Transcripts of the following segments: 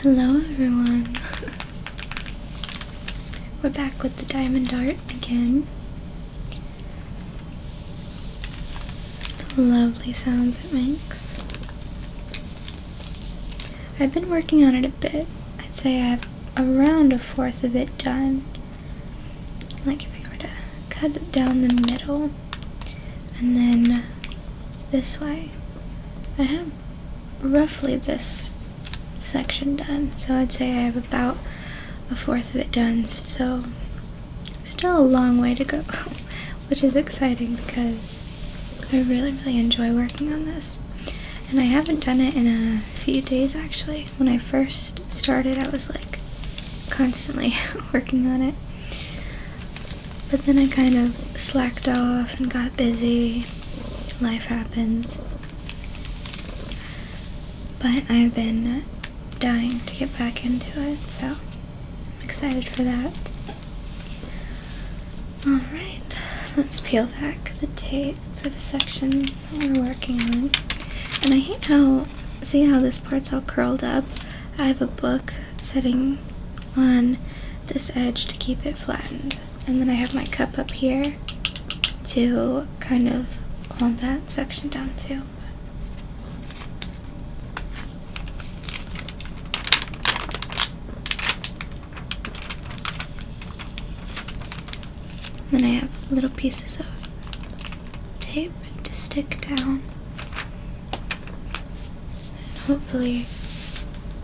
Hello everyone! We're back with the diamond dart again. The lovely sounds it makes. I've been working on it a bit. I'd say I have around a fourth of it done. Like if you were to cut it down the middle and then this way. I have roughly this section done. So I'd say I have about a fourth of it done. So still a long way to go, which is exciting because I really, really enjoy working on this. And I haven't done it in a few days actually. When I first started, I was like constantly working on it. But then I kind of slacked off and got busy. Life happens. But I've been dying to get back into it, so I'm excited for that. Alright, let's peel back the tape for the section that we're working on. And I hate how, see how this part's all curled up? I have a book sitting on this edge to keep it flattened and then I have my cup up here to kind of hold that section down too. then I have little pieces of tape to stick down and hopefully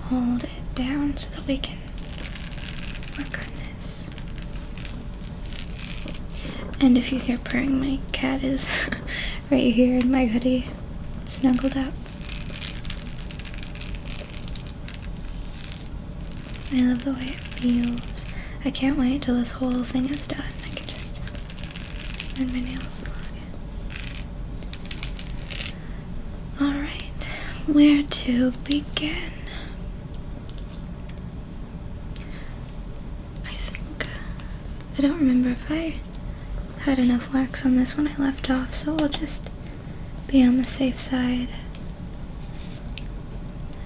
hold it down so that we can work on this. And if you hear purring, my cat is right here in my hoodie, snuggled up. I love the way it feels. I can't wait till this whole thing is done. I can just run my nails along it. Alright, where to begin? I think. I don't remember if I had enough wax on this one. I left off, so I'll just be on the safe side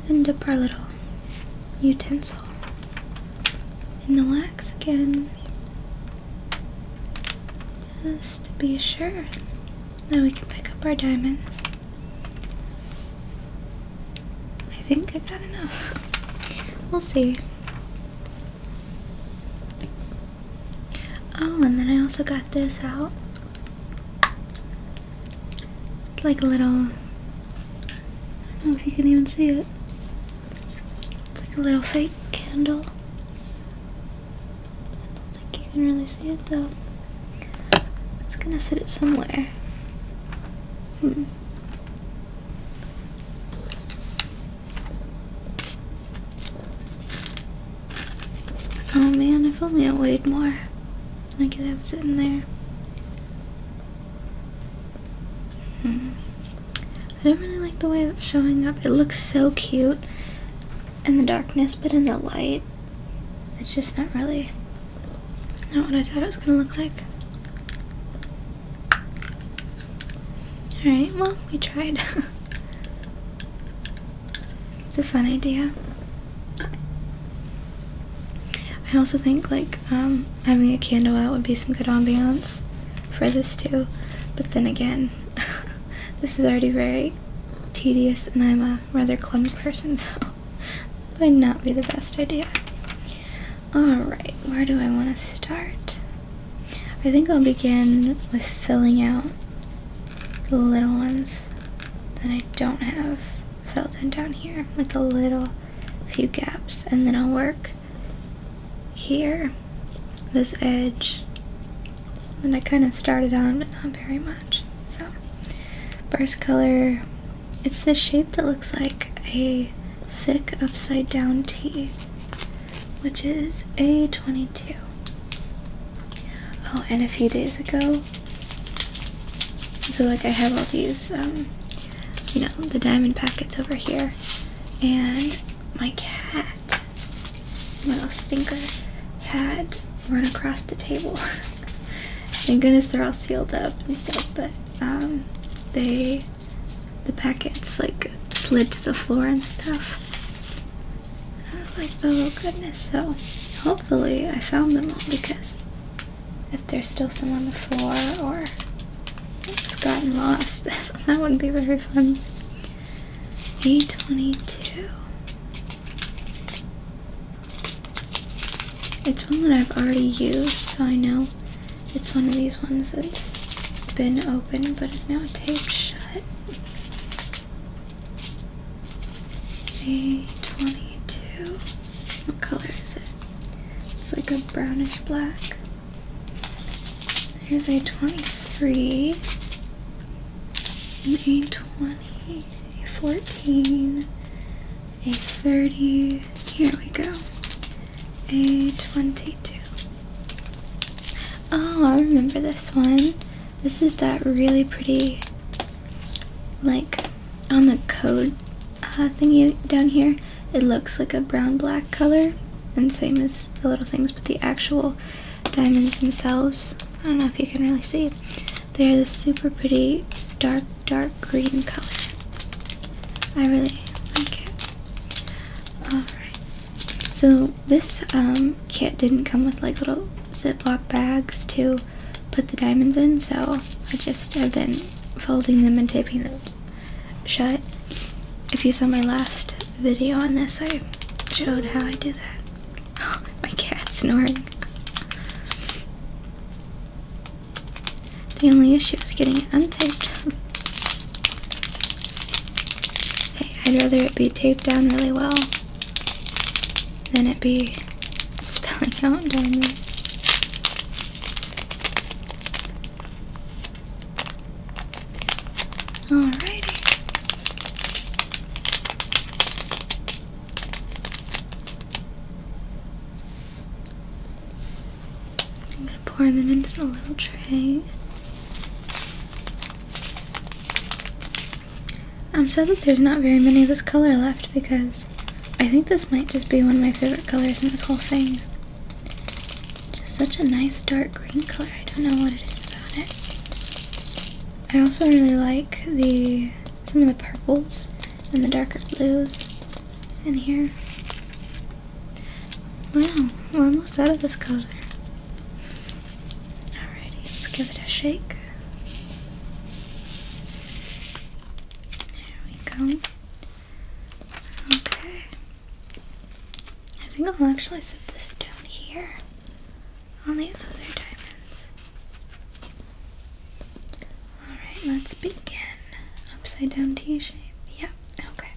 and dip our little utensil in the wax again. Just to be sure that we can pick up our diamonds. I think I got enough. We'll see. Oh, and then I also got this out. It's like a little. I don't know if you can even see it. It's like a little fake candle. I don't think you can really see it though. It's gonna sit it somewhere. Hmm. Oh man, if only I weighed more. I could have it sitting there. Hmm. I don't really like the way it's showing up. It looks so cute in the darkness, but in the light, it's just not really not what I thought it was gonna look like. Alright, well, we tried. it's a fun idea. I also think like um, having a candle out would be some good ambiance for this too. But then again, this is already very tedious and I'm a rather clumsy person, so that would not be the best idea. Alright, where do I want to start? I think I'll begin with filling out the little ones that I don't have filled in down here, with a little few gaps, and then I'll work here, this edge, and I kind of started on but not very much. So, first color, it's this shape that looks like a thick upside down T, which is A22. Oh, and a few days ago, so like I have all these, um, you know, the diamond packets over here, and my cat what else think had run across the table? Thank goodness they're all sealed up and stuff, but um, they, the packets like slid to the floor and stuff. I was like, oh goodness, so hopefully I found them all because if there's still some on the floor or it's gotten lost, that wouldn't be very fun. A twenty-two. It's one that I've already used, so I know it's one of these ones that's been open, but it's now taped shut. A22. What color is it? It's like a brownish black. Here's A23 a 20, a 14, a 30, here we go, a 22. Oh, I remember this one. This is that really pretty, like, on the code uh, thingy down here, it looks like a brown-black color, and same as the little things, but the actual diamonds themselves. I don't know if you can really see. They're this super pretty dark, dark green color. I really like it. Alright. So this um, kit didn't come with like little Ziploc bags to put the diamonds in, so I just have been folding them and taping them shut. If you saw my last video on this, I showed how I do that. My cat's snoring. The only issue is getting it untaped. hey, I'd rather it be taped down really well than it be spilling out down there. Alrighty. I'm going to pour them into a little tray. I'm sad that there's not very many of this color left because I think this might just be one of my favorite colors in this whole thing. Just such a nice dark green color. I don't know what it is about it. I also really like the some of the purples and the darker blues in here. Wow, we're almost out of this color. Alrighty, let's give it a shake. There we go. Okay. I think I'll actually set this down here only other diamonds. Alright, let's begin. Upside down T shape. Yep, okay.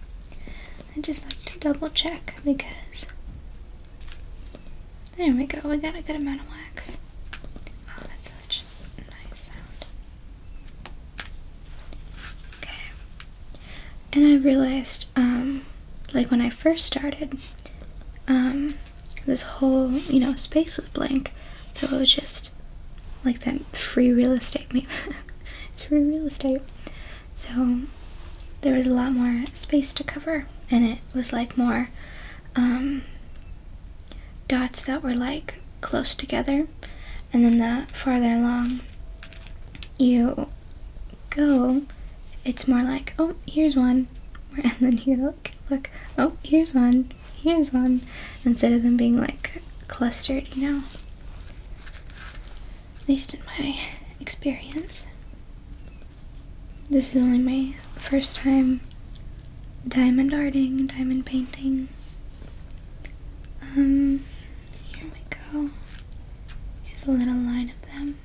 I just like to double check because. There we go, we got a good amount of wax. Oh, that's such a nice sound. Okay. And I realized, um, like when I first started, um, this whole, you know, space was blank. So it was just like that free real estate it's free real estate. So there was a lot more space to cover and it was like more um, dots that were like close together and then the farther along you go, it's more like, oh, here's one, and then you look, look, oh, here's one, here's one, instead of them being like clustered, you know? At least in my experience. This is only my first time diamond arting, diamond painting. Um, here we go. Here's a little line of them.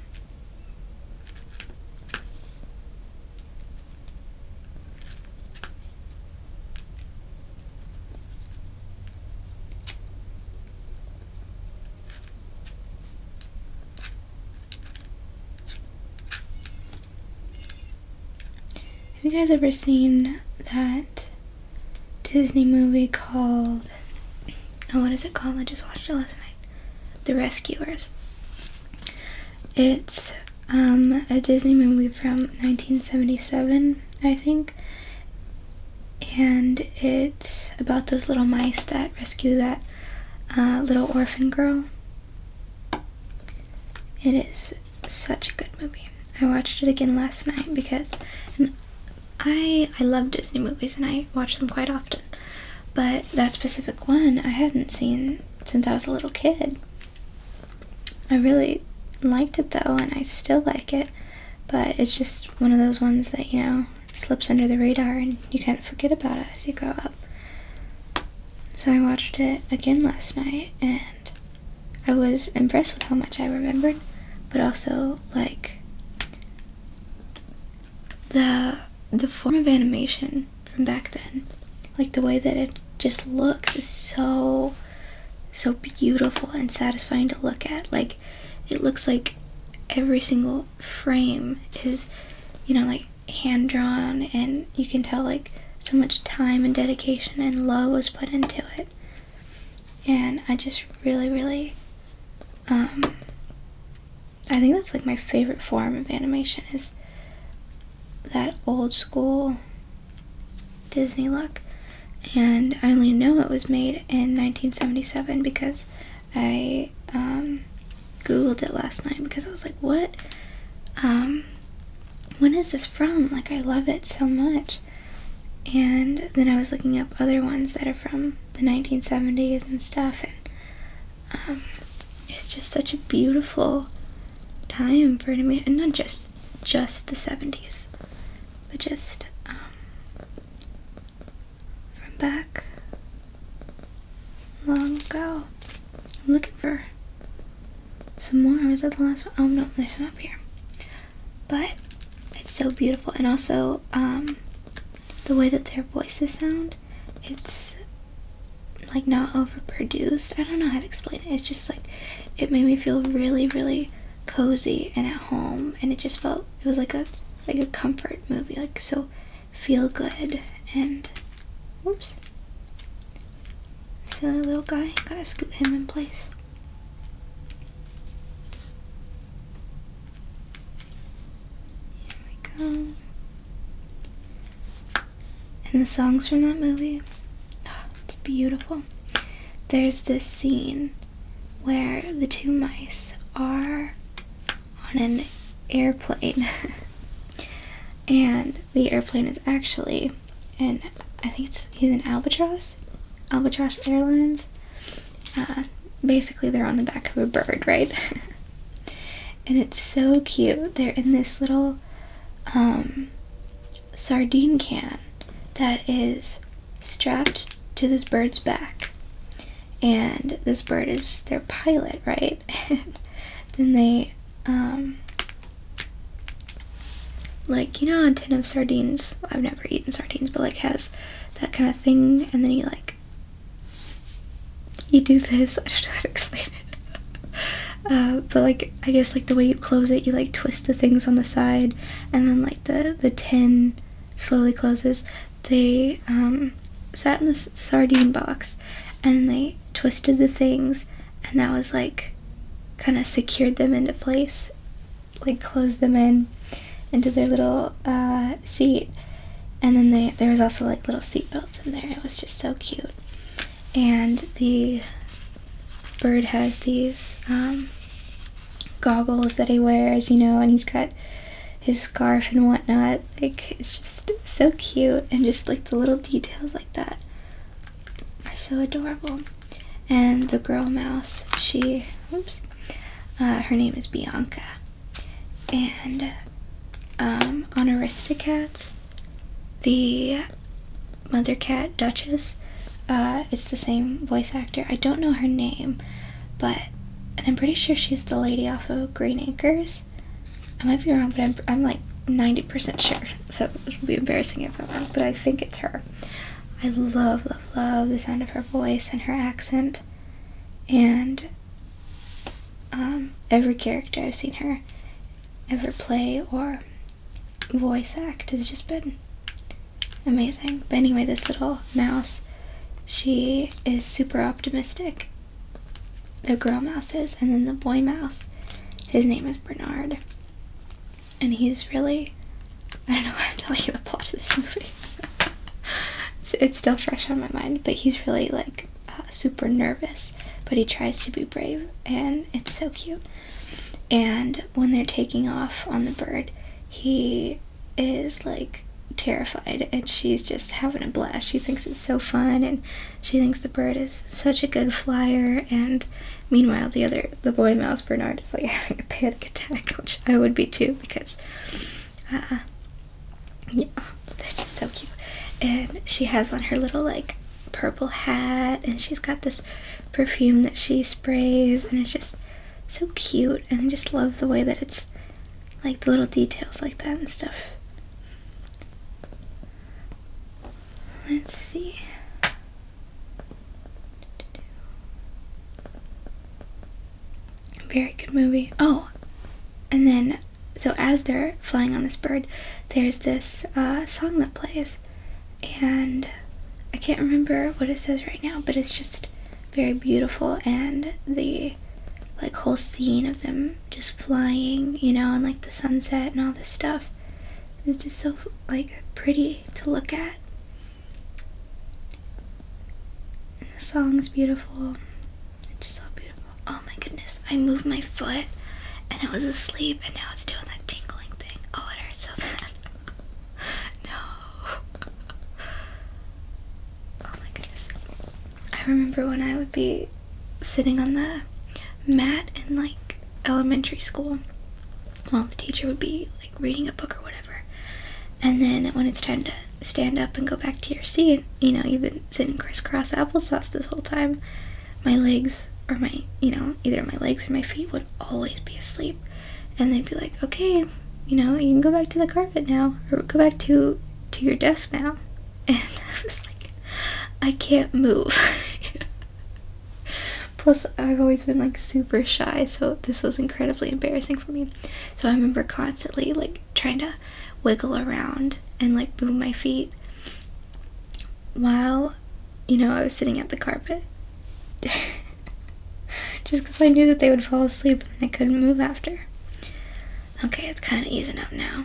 Have you guys ever seen that Disney movie called, oh, what is it called? I just watched it last night. The Rescuers. It's um, a Disney movie from 1977, I think. And it's about those little mice that rescue that uh, little orphan girl. It is such a good movie. I watched it again last night because I I love Disney movies and I watch them quite often. But that specific one I hadn't seen since I was a little kid. I really liked it though, and I still like it, but it's just one of those ones that, you know, slips under the radar and you kind of forget about it as you grow up. So I watched it again last night and I was impressed with how much I remembered, but also, like, the the form of animation from back then, like the way that it just looks, is so so beautiful and satisfying to look at. Like it looks like every single frame is, you know, like hand drawn, and you can tell like so much time and dedication and love was put into it. And I just really, really um, I think that's like my favorite form of animation is that old school Disney look. And I only know it was made in 1977 because I um, Googled it last night because I was like, what? Um, when is this from? Like, I love it so much. And then I was looking up other ones that are from the 1970s and stuff, and um, it's just such a beautiful time for me, and not just just the '70s, but just um, from back long ago. I'm looking for some more. Was that the last one? Oh no, there's some up here. But it's so beautiful, and also um, the way that their voices sound. It's like not overproduced. I don't know how to explain it. It's just like it made me feel really, really cozy and at home and it just felt it was like a like a comfort movie, like so feel good and whoops. Silly little guy, gotta scoop him in place. Here we go. And the songs from that movie, oh, it's beautiful. There's this scene where the two mice are on an airplane. and the airplane is actually, and I think it's, he's an albatross, albatross airlines. Uh, basically, they're on the back of a bird, right? and it's so cute. They're in this little um, sardine can that is strapped to this bird's back, and this bird is their pilot, right? then they, um, like you know, a tin of sardines. I've never eaten sardines, but like has that kind of thing, and then you like you do this. I don't know how to explain it. Uh, but like I guess like the way you close it, you like twist the things on the side, and then like the the tin slowly closes. They um, sat in the sardine box, and they twisted the things, and that was like kind of secured them into place, like closed them in into their little uh, seat. And then there was also like little seat belts in there. It was just so cute. And the bird has these um, goggles that he wears, you know, and he's got his scarf and whatnot. Like it's just so cute, and just like the little details like that are so adorable. And the girl mouse, she, oops, uh, her name is Bianca, and um, on Aristocats, the mother cat Duchess, uh, it's the same voice actor. I don't know her name, but and I'm pretty sure she's the lady off of Green Acres. I might be wrong, but I'm, I'm like 90% sure, so it'll be embarrassing if I'm wrong, but I think it's her. I love, love, love the sound of her voice and her accent. And um, every character I've seen her ever play or voice act has just been amazing. But anyway, this little mouse, she is super optimistic. The girl mouse is, and then the boy mouse, his name is Bernard. And he's really, I don't know why I'm telling you the plot of this movie. it's still fresh on my mind, but he's really like uh, super nervous, but he tries to be brave, and it's so cute. And when they're taking off on the bird, he is like terrified, and she's just having a blast. She thinks it's so fun, and she thinks the bird is such a good flyer. And meanwhile, the other, the boy mouse Bernard is like having a panic attack, which I would be too because. Uh, yeah, that's just so cute. And she has on her little like purple hat, and she's got this perfume that she sprays, and it's just so cute. And I just love the way that it's like the little details like that and stuff. Let's see. Very good movie. Oh, and then so as they're flying on this bird, there's this uh, song that plays, and I can't remember what it says right now, but it's just very beautiful and the like whole scene of them just flying, you know, and like the sunset and all this stuff. It's just so like pretty to look at. And the is beautiful. It's just so beautiful. Oh my goodness, I moved my foot and it was asleep and now it's doing that tingling thing. Oh, it hurts so bad. no. Oh my goodness. I remember when I would be sitting on the mat in like elementary school while the teacher would be like reading a book or whatever. And then when it's time to stand up and go back to your seat, you know, you've been sitting crisscross applesauce this whole time my legs or my, you know, either my legs or my feet would always be asleep. And they'd be like, okay, you know, you can go back to the carpet now, or go back to, to your desk now. And I was like, I can't move. Plus, I've always been like super shy, so this was incredibly embarrassing for me. So I remember constantly like trying to wiggle around and like move my feet while you know I was sitting at the carpet. Just because I knew that they would fall asleep and I couldn't move after. Okay, it's kind of easing up now.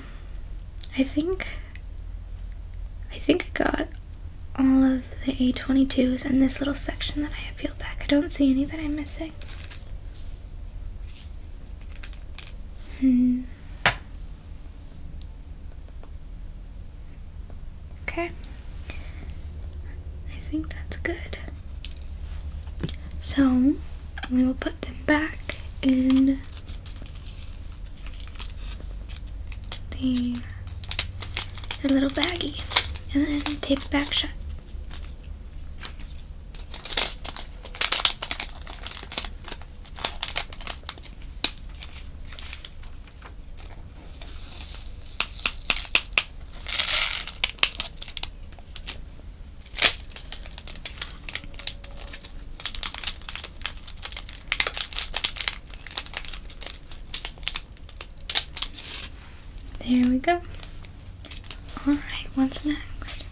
I think. I think I got all of the A22s in this little section that I have peeled back. I don't see any that I'm missing. Hmm. Okay. I think that's good. So, we will put them back in the, little baggie and then tape back shut. There we go. Alright, what's next?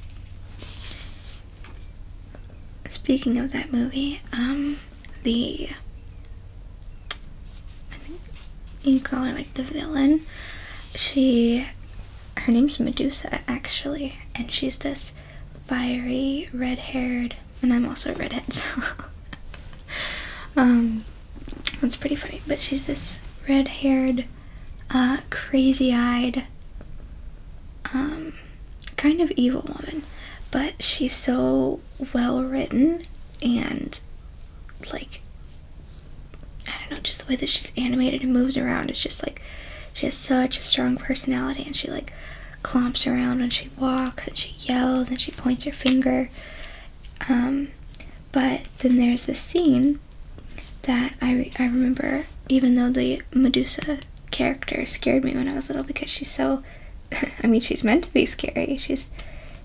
Speaking of that movie, um, the you call her like the villain. She, her name's Medusa actually, and she's this fiery red-haired, and I'm also a redhead, so um, that's pretty funny. But she's this red-haired, uh, crazy-eyed, um, kind of evil woman, but she's so well written and like I don't know, just the way that she's animated and moves around. It's just like she has such a strong personality and she like clomps around when she walks and she yells and she points her finger. Um, but then there's this scene that I, I remember, even though the Medusa character scared me when I was little because she's so I mean she's meant to be scary. She's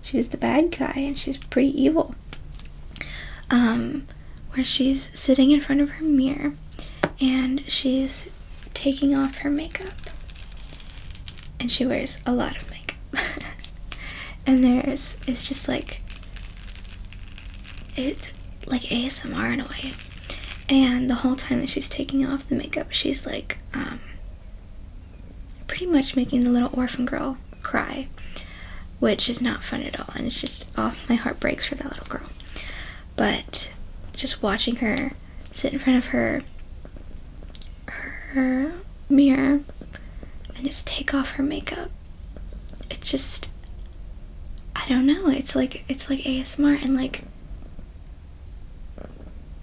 she's the bad guy and she's pretty evil. Um where she's sitting in front of her mirror and she's taking off her makeup. And she wears a lot of makeup. and there's it's just like it's like ASMR in a way. And the whole time that she's taking off the makeup, she's like, um, pretty much making the little orphan girl cry, which is not fun at all. And it's just, off oh, my heart breaks for that little girl. But just watching her sit in front of her, her mirror and just take off her makeup. It's just, I don't know. It's like, it's like ASMR and like,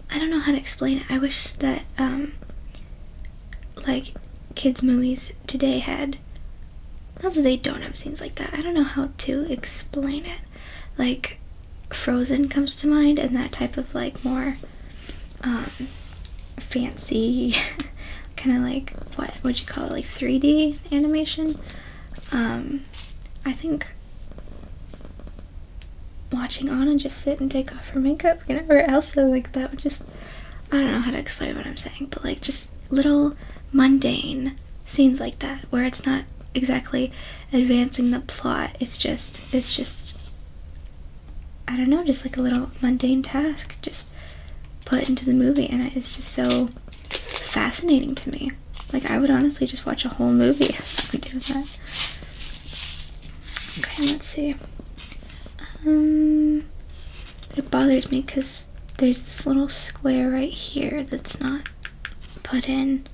I don't know how to explain it. I wish that um, like kids movies today had also they don't have scenes like that. I don't know how to explain it. Like Frozen comes to mind and that type of like more um, fancy kind of like what would you call it like 3D animation. Um, I think watching Anna just sit and take off her makeup whenever Elsa like that would just I don't know how to explain what I'm saying, but like just little mundane scenes like that where it's not exactly advancing the plot. It's just it's just I don't know, just like a little mundane task just put into the movie and it's just so fascinating to me. Like, I would honestly just watch a whole movie Okay, let's see. Um, it bothers me because there's this little square right here that's not put in.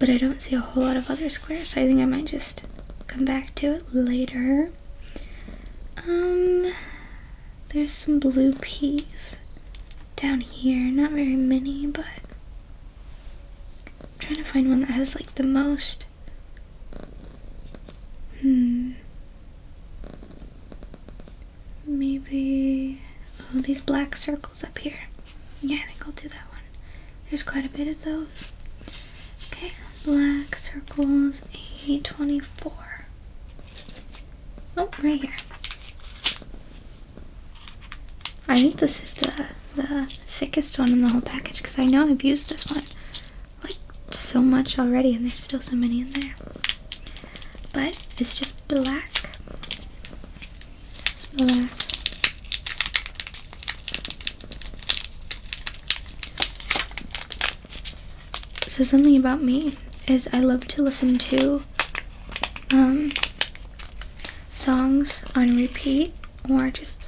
But I don't see a whole lot of other squares, so I think I might just come back to it later. Um, there's some blue peas down here. Not very many, but I'm trying to find one that has like the most. Hmm. Maybe. Oh, these black circles up here. Yeah, I think I'll do that one. There's quite a bit of those. Okay, black circles, a twenty four. Oh, right here. I think this is the the thickest one in the whole package because I know I've used this one like so much already, and there's still so many in there. But it's just black. black. So something about me is I love to listen to um, songs on repeat or just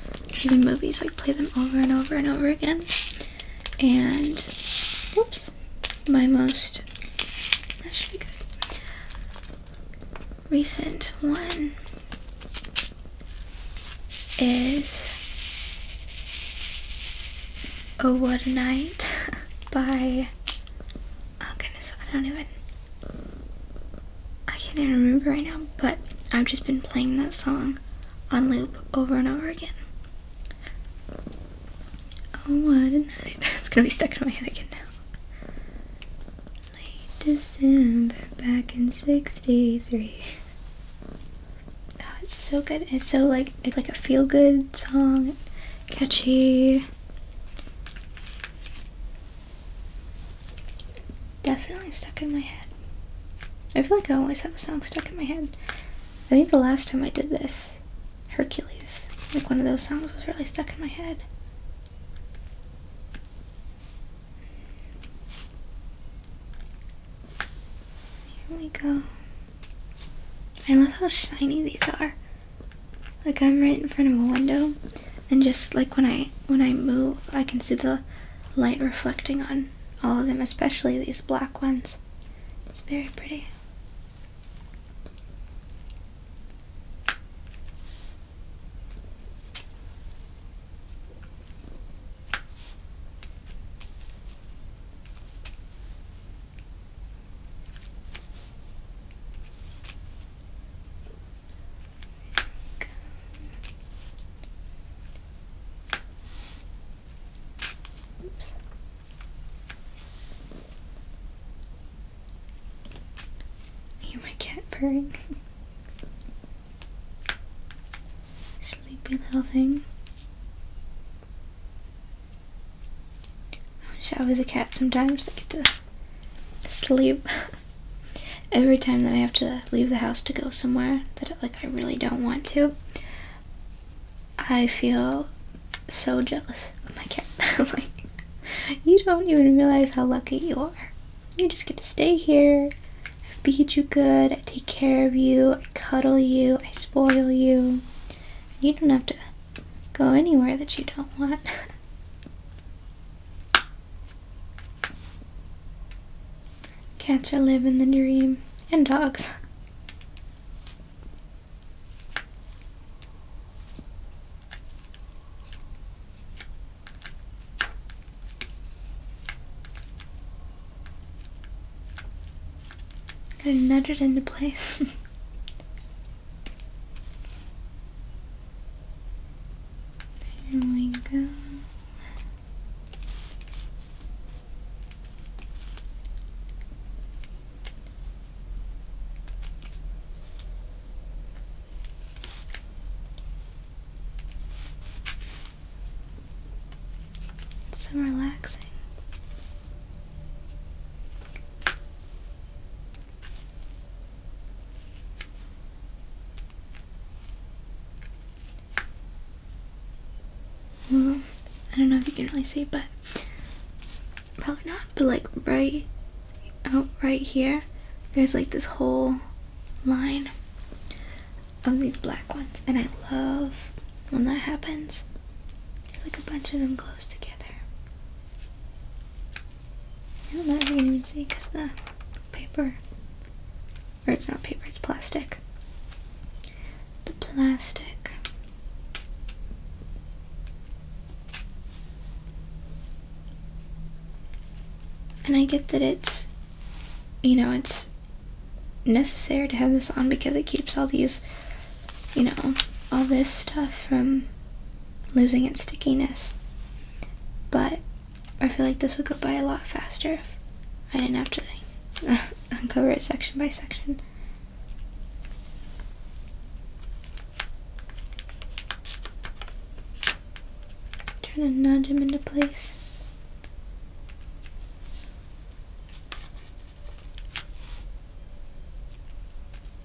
even movies, like play them over and over and over again. And, whoops, my most, recent one is Oh What a Night by oh goodness, I don't even, I can't even remember right now, but I've just been playing that song on loop over and over again. Oh, what a night. it's gonna be stuck in my head again now. December, back in 63. Oh, it's so good. It's so like, it's like a feel good song, catchy. Definitely stuck in my head. I feel like I always have a song stuck in my head. I think the last time I did this, Hercules, like one of those songs was really stuck in my head. Here we go. I love how shiny these are. Like I'm right in front of a window and just like when I when I move I can see the light reflecting on all of them, especially these black ones. It's very pretty. Oops. Hear my cat purring. Sleepy little thing. I wish I was a cat sometimes. I get to sleep every time that I have to leave the house to go somewhere that like I really don't want to. I feel so jealous of my cat. like you don't even realize how lucky you are. You just get to stay here. I feed you good. I take care of you. I cuddle you. I spoil you. You don't have to go anywhere that you don't want. Cats are in the dream, and dogs. Gotta nudge it into place. There we go. so relaxing. Mm-hmm. I don't know if you can really see, but probably not. But like right, oh, right here, there's like this whole line of these black ones, and I love when that happens. Like a bunch of them close together. I'm not really even see because the paper, or it's not paper, it's plastic. The plastic and I get that it's you know it's necessary to have this on because it keeps all these you know all this stuff from losing its stickiness. But I feel like this would go by a lot faster if I didn't have to uncover it section by section. Trying to nudge him into place.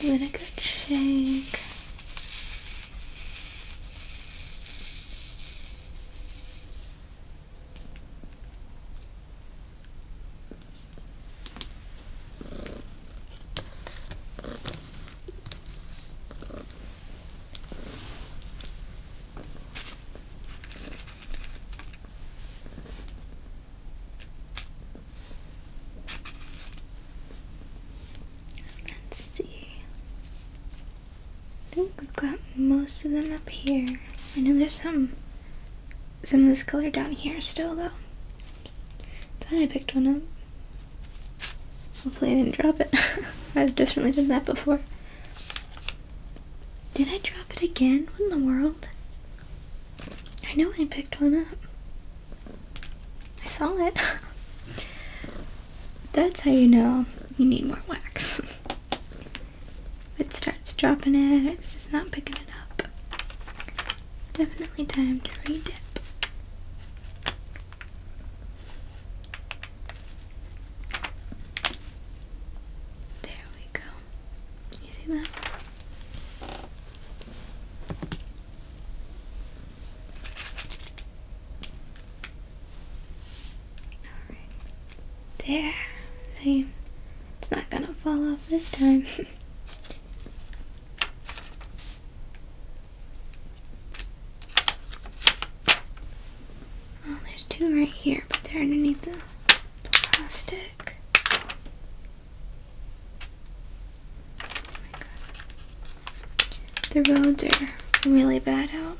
Give it a good shake. Let's see. I think we've got most of them up here. I know there's some some of this color down here still though. Thought I picked one up. Hopefully I didn't drop it. I've definitely done that before. Did I drop it again? What in the world? I know I picked one up. I saw it. That's how you know you need more wax. it starts dropping it, it's just not picking it up. Definitely time to redip. There we go. You see that? There. See? It's not gonna fall off this time. oh, there's two right here, but they're underneath the plastic. Oh the roads are really bad out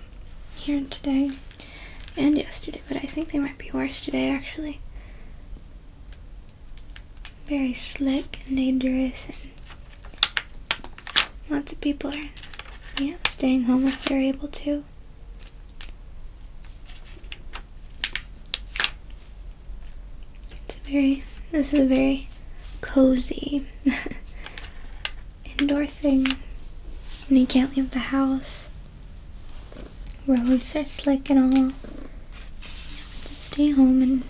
here today and yesterday, but I think they might be worse today actually. Very slick and dangerous, and lots of people are you know, staying home if they're able to. It's very, this is a very cozy indoor thing, and you can't leave the house roads are slick and all. Just stay home and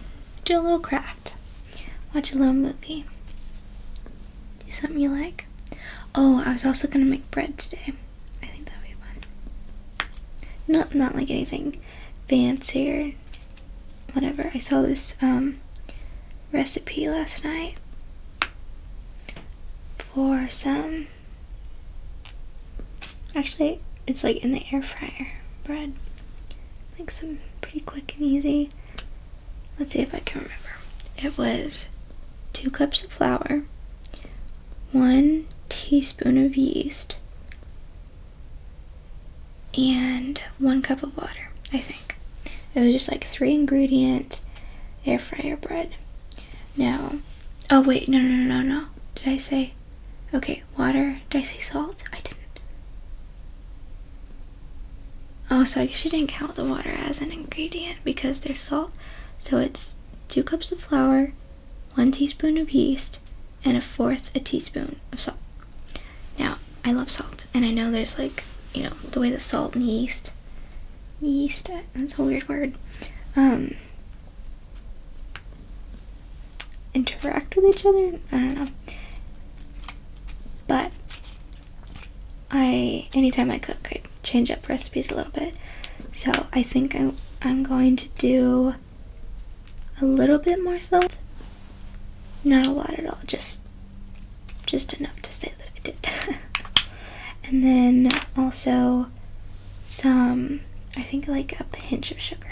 do a little craft. Watch a little movie. Do something you like. Oh, I was also gonna make bread today. I think that'd be fun. Not not like anything fancy or whatever. I saw this um, recipe last night for some Actually, it's like in the air fryer bread. Like some pretty quick and easy. Let's see if I can remember. It was two cups of flour, one teaspoon of yeast, and one cup of water, I think. It was just like three ingredient air fryer bread. No. Oh, wait, no, no, no, no. Did I say? Okay, water. Did I say salt? I didn't. Oh, so I guess you didn't count the water as an ingredient because there's salt. So it's two cups of flour, one teaspoon of yeast, and a fourth a teaspoon of salt. Now, I love salt, and I know there's like, you know, the way that salt and yeast, yeast, that's a weird word, um, interact with each other. I don't know. But I, anytime I cook, I change up recipes a little bit. So I think I'm, I'm going to do a little bit more salt. Not a lot at all, just just enough to say that I did. and then also some, I think like a pinch of sugar.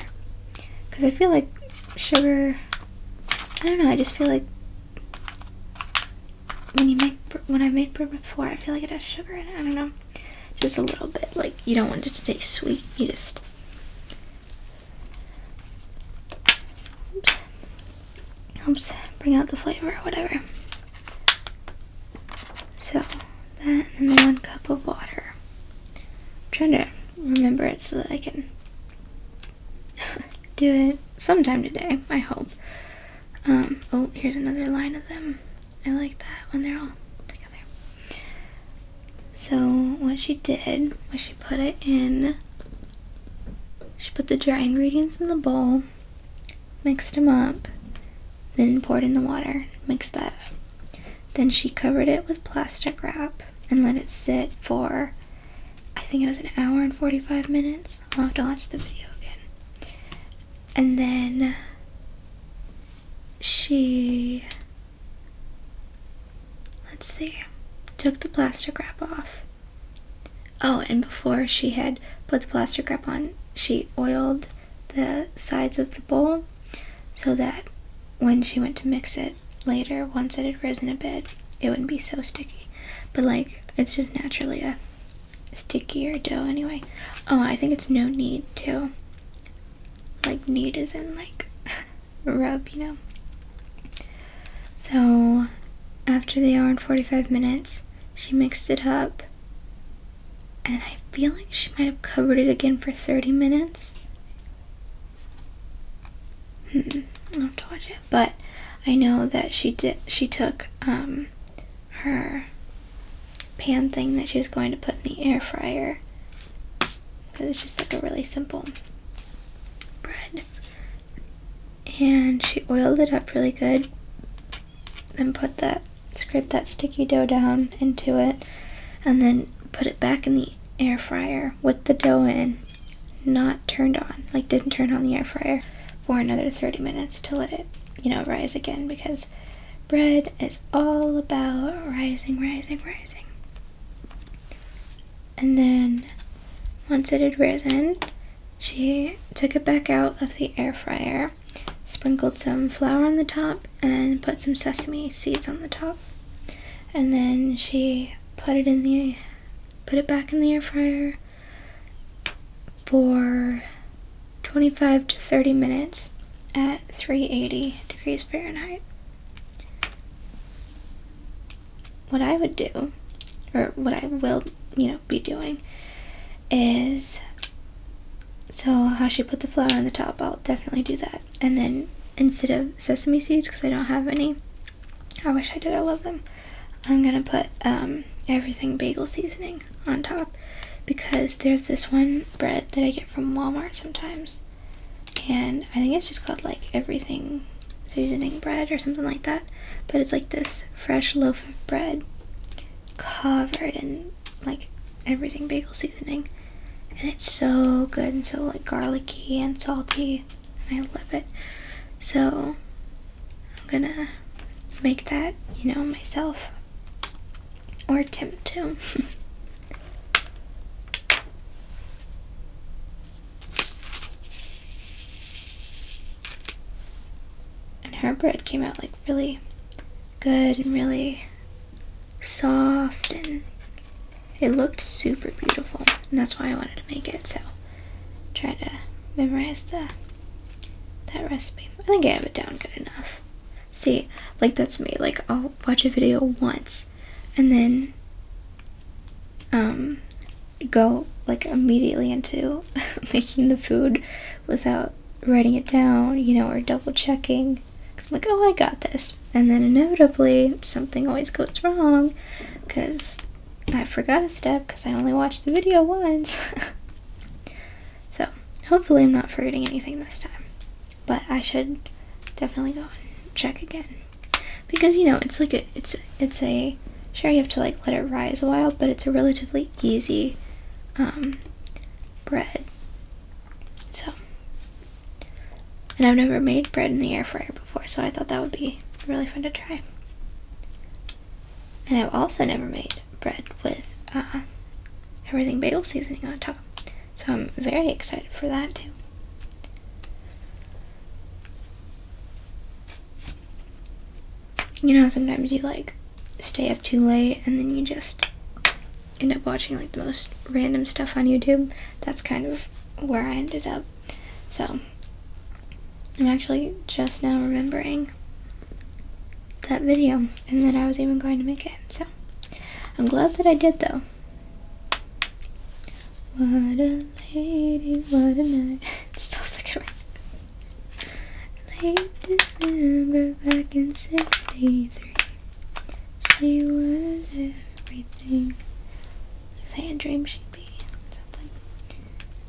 Because I feel like sugar, I don't know, I just feel like when you make, when I made bread before, I feel like it has sugar in it, I don't know. Just a little bit, like you don't want it to taste sweet, you just helps bring out the flavor or whatever. So, that and one cup of water. I'm trying to remember it so that I can do it sometime today, I hope. Um, oh, here's another line of them. I like that when they're all together. So, what she did was she put it in, she put the dry ingredients in the bowl, mixed them up, then poured in the water, mixed that up. Then she covered it with plastic wrap and let it sit for I think it was an hour and 45 minutes. I'll have to watch the video again. And then she, let's see, took the plastic wrap off. Oh, and before she had put the plastic wrap on, she oiled the sides of the bowl so that when she went to mix it later, once it had risen a bit, it wouldn't be so sticky. But like, it's just naturally a stickier dough anyway. Oh, I think it's no need to Like knead as in like rub, you know. So after the hour and 45 minutes, she mixed it up and I feel like she might have covered it again for 30 minutes. Hmm, I have to watch it, but I know that she did. She took um, her pan thing that she was going to put in the air fryer because it's just like a really simple bread, and she oiled it up really good then put that, scrape that sticky dough down into it, and then put it back in the air fryer with the dough in, not turned on, like didn't turn on the air fryer for another 30 minutes to let it, you know, rise again because bread is all about rising, rising, rising. And then once it had risen, she took it back out of the air fryer Sprinkled some flour on the top and put some sesame seeds on the top. And then she put it in the put it back in the air fryer for 25 to 30 minutes at 380 degrees Fahrenheit. What I would do, or what I will, you know, be doing, is so how she put the flour on the top, I'll definitely do that. And then instead of sesame seeds, because I don't have any, I wish I did, I love them. I'm gonna put um, everything bagel seasoning on top because there's this one bread that I get from Walmart sometimes. And I think it's just called like everything seasoning bread or something like that. But it's like this fresh loaf of bread covered in like everything bagel seasoning. And it's so good and so like garlicky and salty. And I love it. So I'm gonna make that, you know, myself. Or attempt to. and her bread came out like really good and really soft and it looked super beautiful. And that's why I wanted to make it. So try to memorize the that recipe. I think I have it down good enough. See, like that's me. Like I'll watch a video once and then um go like immediately into making the food without writing it down, you know, or double checking. Because I'm like, oh, I got this. And then inevitably, something always goes wrong because I forgot a step because I only watched the video once. so, hopefully, I'm not forgetting anything this time. But I should definitely go check again. Because, you know, it's like it's, it's a, sure you have to like let it rise a while, but it's a relatively easy um, bread. So, and I've never made bread in the air fryer before, so I thought that would be really fun to try. And I've also never made bread with uh, everything bagel seasoning on top. So I'm very excited for that too. You know, sometimes you like stay up too late and then you just end up watching like the most random stuff on YouTube. That's kind of where I ended up. So, I'm actually just now remembering that video and then I was even going to make it. So, I'm glad that I did though. What a lady, what a night. still stuck in Late December back in 63. She was everything. Say a dream she'd be something.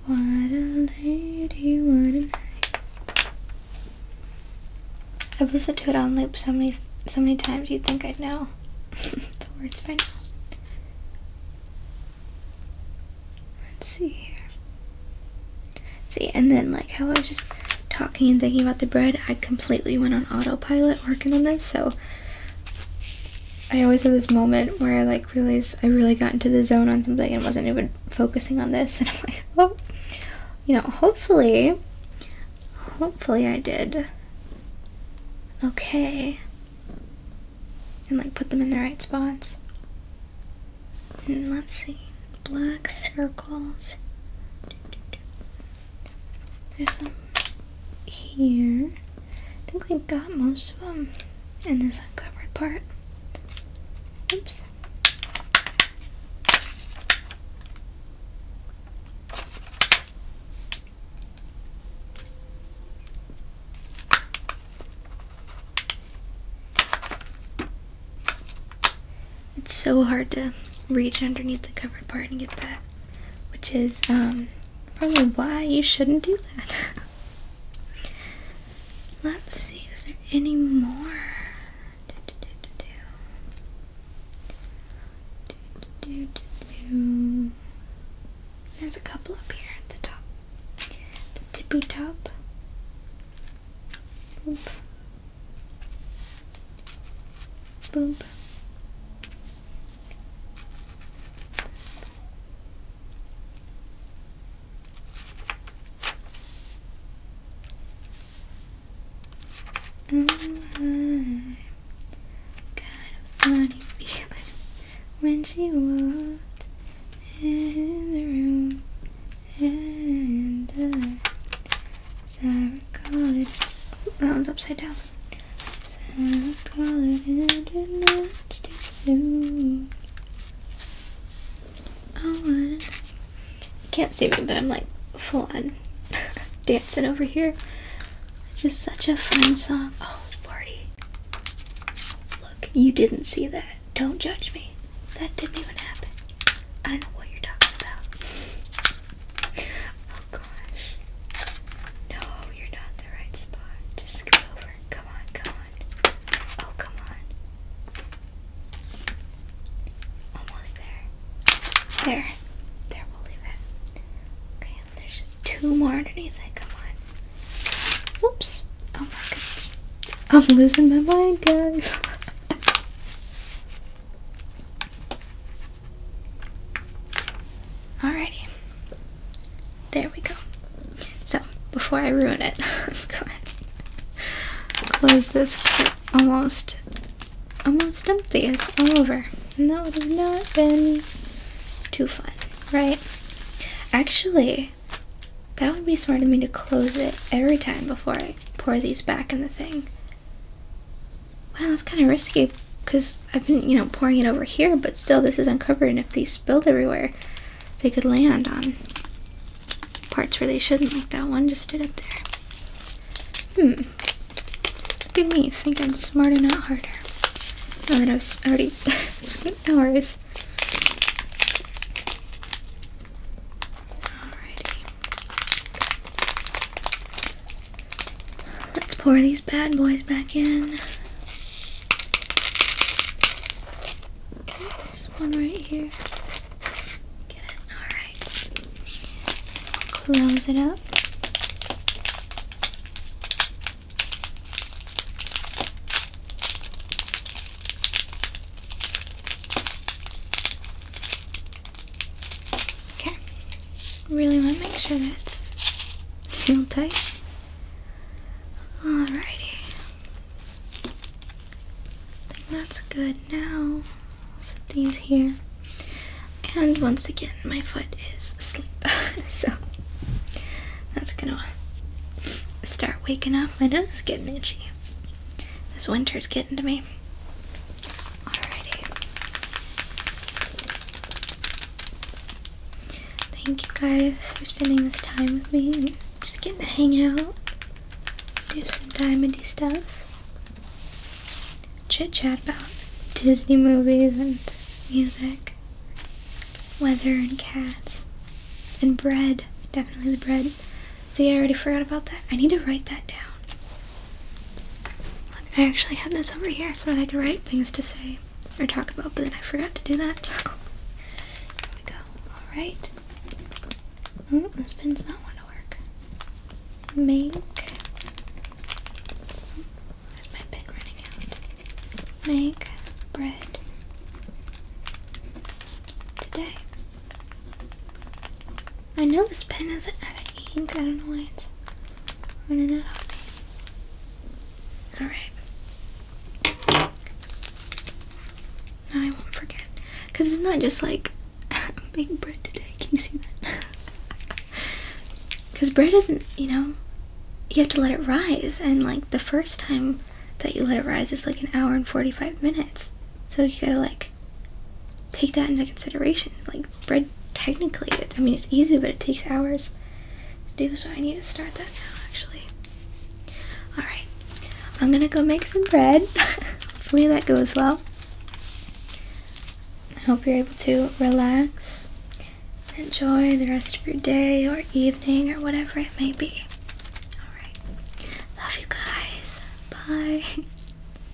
What a lady, what a night. I've listened to it on loop so many so many times you'd think I'd know the words by now. Let's see here. See, and then like how I was just talking and thinking about the bread, I completely went on autopilot working on this, so I always have this moment where I like realize I really got into the zone on something and wasn't even focusing on this, and I'm like, well, oh. you know, hopefully, hopefully I did okay, and like put them in the right spots. let's see, black circles. There's some here. I think we got most of them in this uncovered part. Oops. It's so hard to reach underneath the covered part and get that, which is um, probably why you shouldn't do that. Let's see, is there any more? There's a couple up here at the top, the tippy top boop, boop, and mm-hmm. I got a funny feeling when she walked in the room. And uh, I recall it, that one's upside down. I oh, can't see me, but I'm like full on dancing over here. Just such a fun song. Oh, lordy. Look, you didn't see that. Don't judge me. That didn't even happen. I don't know what you're talking about. Oh gosh. No, you're not the right spot. Just scoot over. Come on, come on. Oh, come on. Almost there. There. There, we'll leave it. Okay, there's just two more underneath Come on. Whoops. Oh my goodness. I'm losing my mind, guys. Alrighty. There we go. So, before I ruin it, let's go ahead close this. Almost, almost empty. It's all over. And that would have not been too fun, right? Actually, that would be smart of me to close it every time before I pour these back in the thing. Wow, that's kind of risky because I've been, you know, pouring it over here, but still this is uncovered and if they spilled everywhere, they could land on parts where they shouldn't, like that one just stood up there. Hmm. Look at me, think I'm smarter, not harder. Now that I've already spent hours Alrighty. Let's pour these bad boys back in. There's one right here. Get it? Alright. Close it up. Okay. Really want to make sure that's sealed tight. Alrighty. I that's good now. Set these here. And once again, my foot is asleep. so that's gonna start waking up. My nose is getting itchy. This winter's getting to me. Alrighty. Thank you guys for spending this time with me and just getting to hang out, do some diamondy stuff, chit chat about Disney movies and music, weather and cats, and bread. Definitely the bread. See, I already forgot about that. I need to write that down. I actually had this over here so that I could write things to say or talk about, but then I forgot to do that, so here we go. Alright. Oh, this pin's not want to work. Make. Where's my pen running out? Make bread today. I know this pen has out of ink. I don't know why it's running out of me. Alright. Now I won't forget. Because it's not just like making bread today. Can you see that? Because bread isn't, you know, you have to let it rise. And like the first time that you let it rise is like an hour and 45 minutes. So you gotta like take that into consideration. Like bread, technically, it, I mean it's easy, but it takes hours to do. So I need to start that now, actually. All right, I'm gonna go make some bread. Hopefully that goes well. I hope you're able to relax, enjoy the rest of your day or evening or whatever it may be. All right, love you guys. Bye.